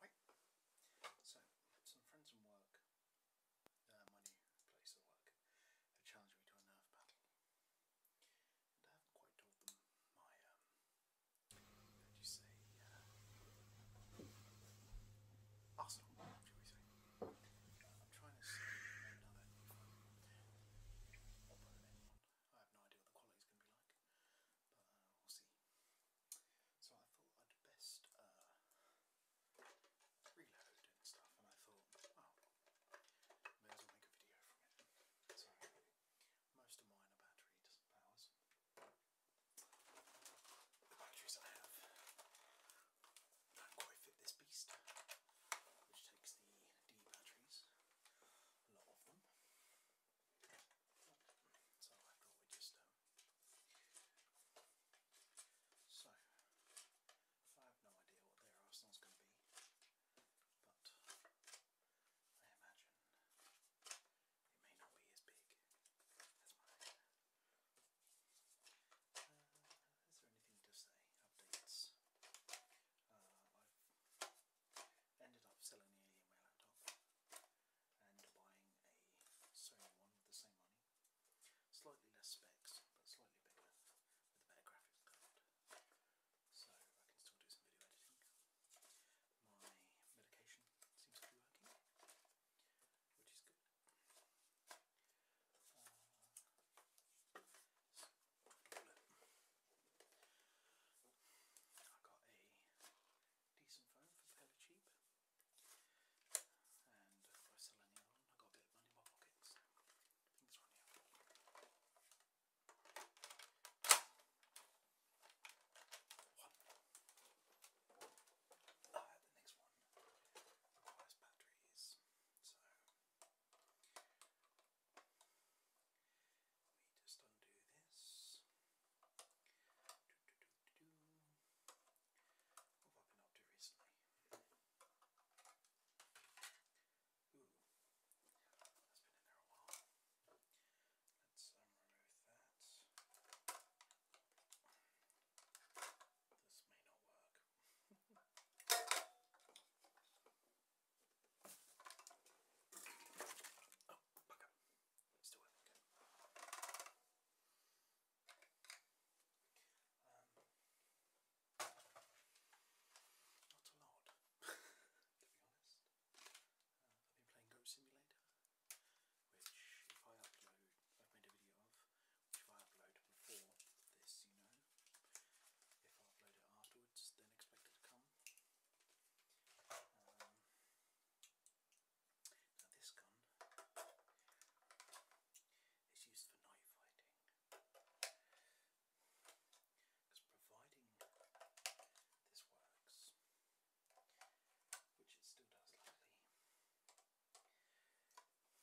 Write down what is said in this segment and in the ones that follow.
Right, so some friends from work, uh, my place of work, challenged me to a nerve battle. I haven't quite told them my, um, you say, arsenal, do you say. Uh, I'm trying to see another one. I have no idea what the quality's going to be like, but we'll see. So I thought I'd best reload and stuff, and I thought, well, may as well make a video from it. So most of mine are battery powers. The batteries I have don't quite fit this beast, which takes the D batteries, a lot of them. So I thought we just um, so I have no idea what their arsenal's going to be, but I imagine it may not be as big uh, is there anything to say? Updates. Uh, I've ended up selling the Alienware laptop and buying a Sony one with the same money. Slightly less specs, but slightly bigger with a better graphics card. So I can still do some video editing. My medication seems to be working, which is good. Uh, I got a decent phone for fairly cheap, and by selling it on, I got a bit of money in my pocket, so uh, the next one requires batteries. So let me just undo this. What have I been up to recently? Let's um, remove that. This may not work. oh, bugger. It's still working. Okay. Um, not a lot, to be honest. Uh, I've been playing Goat Simulator, which if I upload, I've made a video of stuff, if I upload before this, you know, if I upload it afterwards, then expect to come. Um, now this gun is used for night fighting, because providing this works, which it still does luckily, it should do, should be able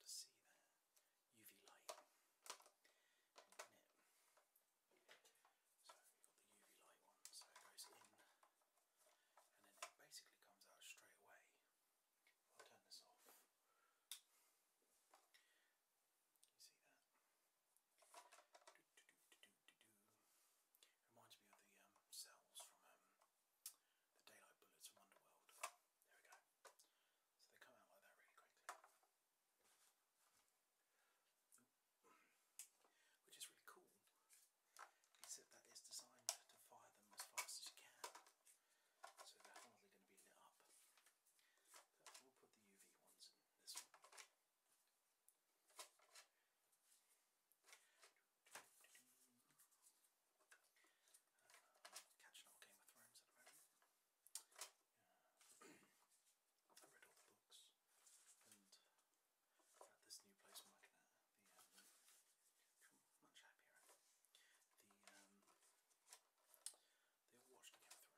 to see the UV light So we've got the UV light one, so it goes in and then it basically comes out straight away. I'll turn this off. you see that? Reminds me of the um, cells from um, the Daylight Bullets from Wonderworld. There we go. So they come out like that really quickly. Which is really cool, except that it's designed to fire them as fast as you can. So they're hardly going to be lit up. we'll put the UV ones in this one. Uh, catching Game of Thrones at the moment. I read all the books and at this new place market the um, much happier. Um, they all Game of Thrones. In fact, they have a whiteboard. They drew a big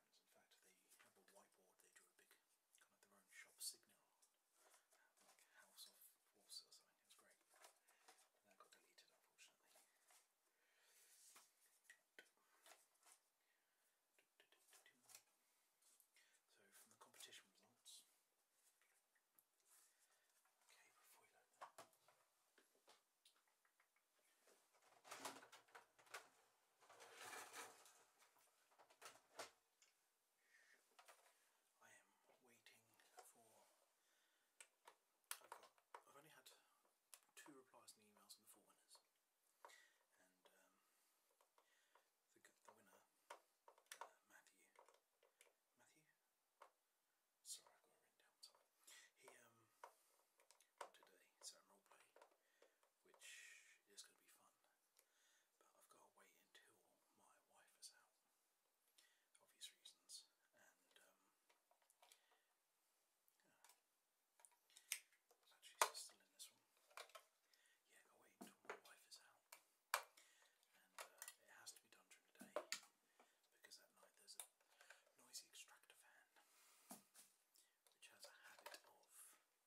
kind of their own shop signal, like House of Water or something. It was great. That got deleted, unfortunately. So from the competition results. Okay, before we load that. I am waiting for. I've got. I've only had two replies in the emails and the four winners, and um, the the winner, uh, Matthew. Matthew. Sorry, I've got it written down somewhere. He um today, so I'm roleplay, which is going to be fun. But I've got to wait until my wife is out, obvious reasons, and um, Actually, still in this one. Yeah, i wait until my wife is out, and uh, it has to be done during because at night there's a noisy extractor fan which has a habit of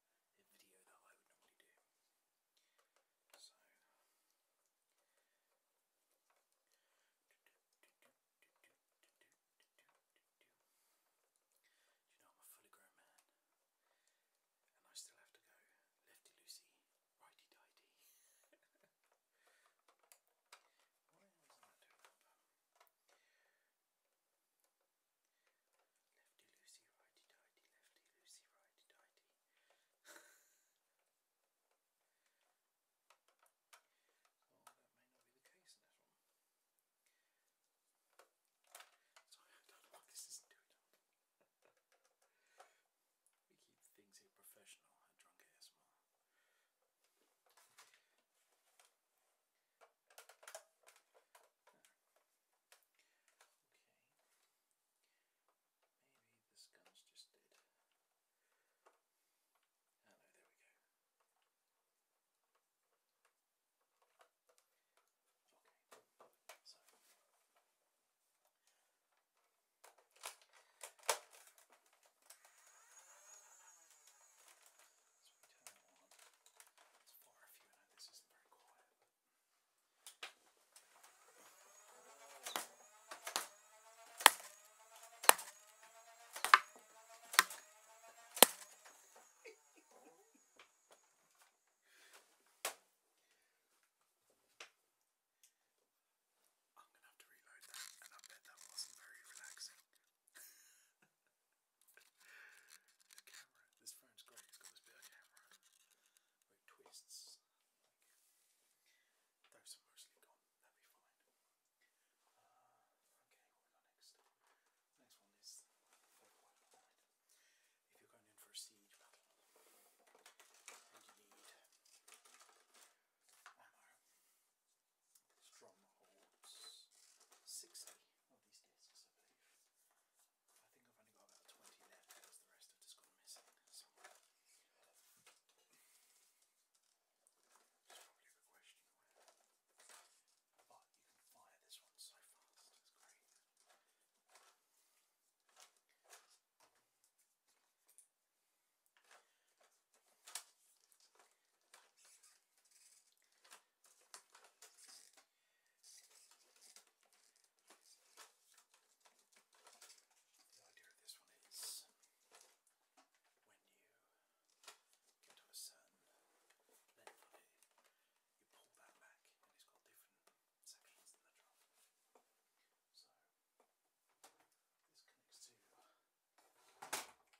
video that I would normally do. So you know I'm a fully grown man and I still have to go lefty loosey, righty tighty. Lefty loosey, righty tighty, lefty loosey, righty tighty. so that may not be the case in this one. Sorry, I don't know what this is doing. we keep things here professional Drunk ASMR. Okay. Maybe this gun's just dead. Oh no, there we go. Okay, so so we turn it on. It's far if you know this isn't very quiet. I'm gonna have to reload that, and I bet that wasn't very relaxing. this camera, this phone's great, it's got this bit camera it twists. those are mostly gone, that'll be fine. Uh, okay, what we got next? Next one is If you're going in for a siege and you need ammo, strong 60 of these discs, I believe. I think I've only got about 20 left because the rest have just gone missing somewhere. It's probably a good question But you can fire this one so fast, it's great. The idea of this one is when you get to a certain length of it, you pull that back and it's got different sections than the drum. So this connects to the Paragon.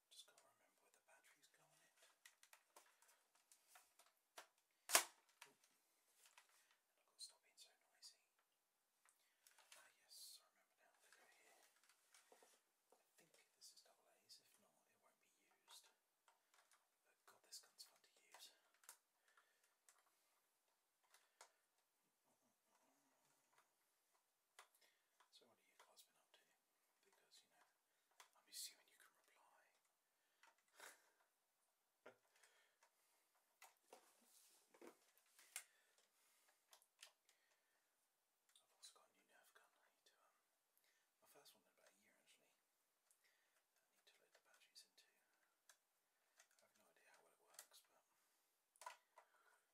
Just got to remember where the batteries go on it. I've got to stop being so noisy. Ah yes, I remember now. They go here. I think this is double A's. If not, it won't be used. But God, this gun's fun to use. So what have you guys been up to? Because, you know, I'm assuming you can reply. I've also got a new nerve gun. Um, my first one in about a year actually. need to load the batteries into. I have no idea how well it works, but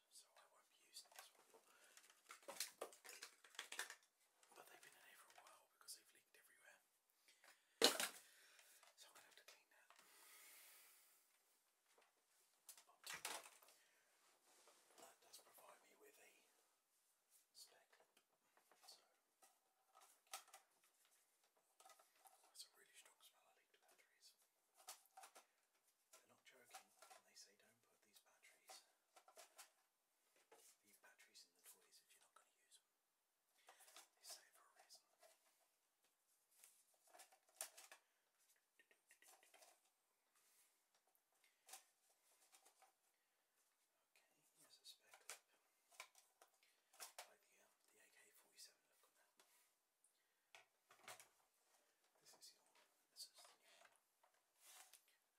so I won't be using this one. But they've been in here for a while because they've leaked everywhere. So I'm going to have to clean that. that does provide me with a spare So that's a really strong smell. I leaked batteries. They're not joking when they say don't put these batteries, these batteries in the toys if you're not going to use them. They say for a reason. Okay, here's a spare clip. Like the, um, the AK-47 This is the this is the and, um,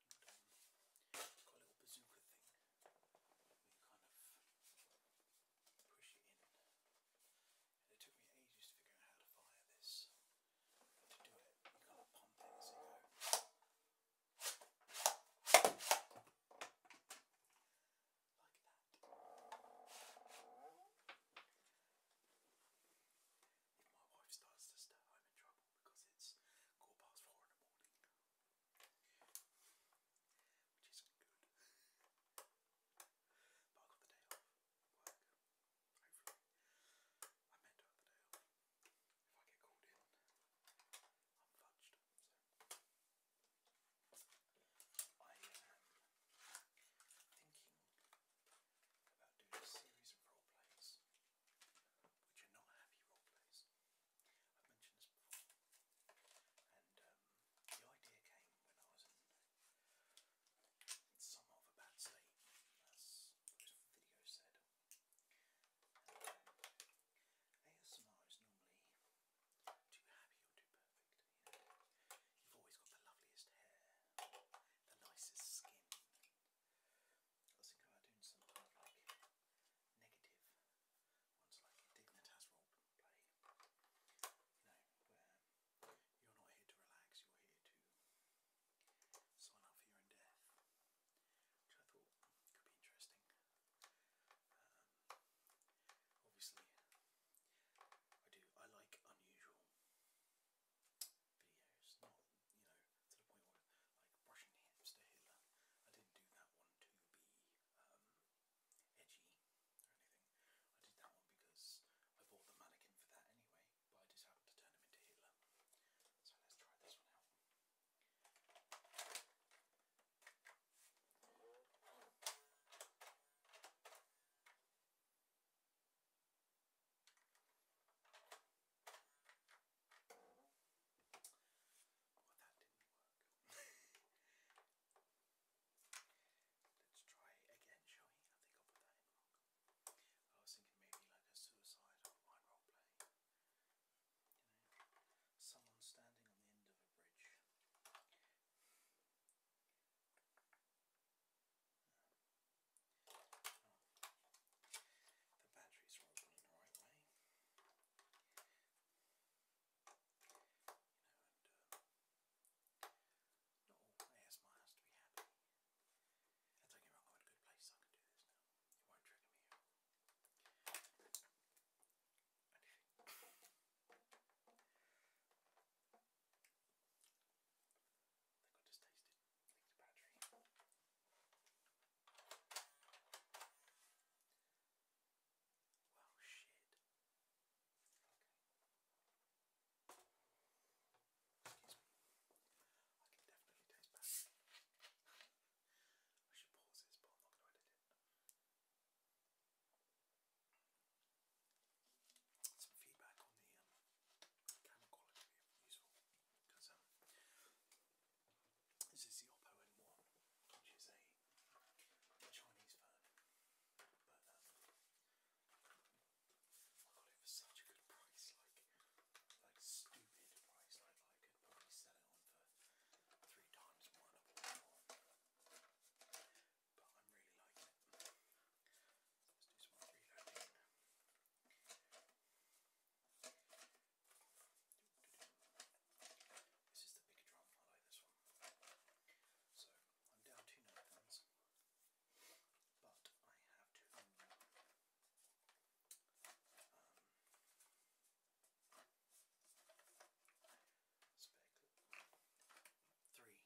it's got a little bazooka thing where you kind of push it in. And it took me ages to figure out how to fire this. But to do it, you kind of pump it as you go. Like that if my wife starts to stay, I'm in trouble because it's quarter past four in the morning, which isn't good. but I got the day off work, hopefully. I meant to have the day off. If I get called in, i So I am thinking about doing a series of role plays which are not happy role plays. I've mentioned this before, and um, the idea came when I was in, in of a bad state, as the video said. And, um, ASMR is normally too happy or too perfect. You've always got the loveliest hair, the nicest skin. I was thinking about doing some kind of ones like Dignitas role play. You are not here to relax, you're here to sign up for your own Which I thought could be interesting. Um, obviously I do I like unusual videos, not, you know, to the point where, like, brushing hipster Hitler. I didn't do that one to be um, edgy or anything. I did that one because I bought the mannequin for that anyway, but I just happened to turn him into Hitler. So let's try this one out. Well, Let's try again, shall we? I was thinking maybe like a suicide role play. You know, someone standing on the end of a bridge. The batteries are all running the right way. Um, not all ASMR has to be happy. And don't get wrong, I'm in a good place, I can do this now. It won't trigger me I think I just Well, shit. I can definitely taste battery. I should pause this, but I'm not going to edit it. Some feedback on the um, camera quality um, this is the Oppo N1, which is a Chinese phone, but um, I got it for such a good price, like like stupid price, like I could probably sell it on for three times more but i This is the bigger drum, I like this one. So I'm down two note but I have two um, three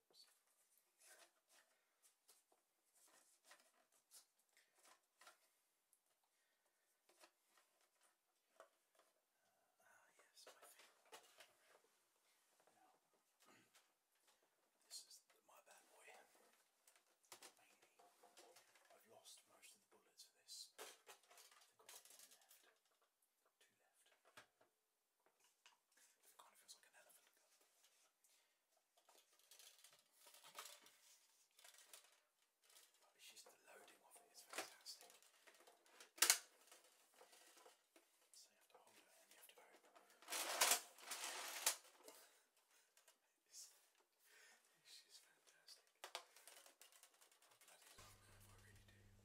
uh, ah, yes, my favorite. this is my bad boy. Mainly, I've lost most of the bullets for this. I think I've got one left. Two left. It kind of feels like an elephant gun. But it's just the loading of it is fantastic. So you have to hold it and you have to go. It's, it's just fantastic. I bloody love nerve, I really do.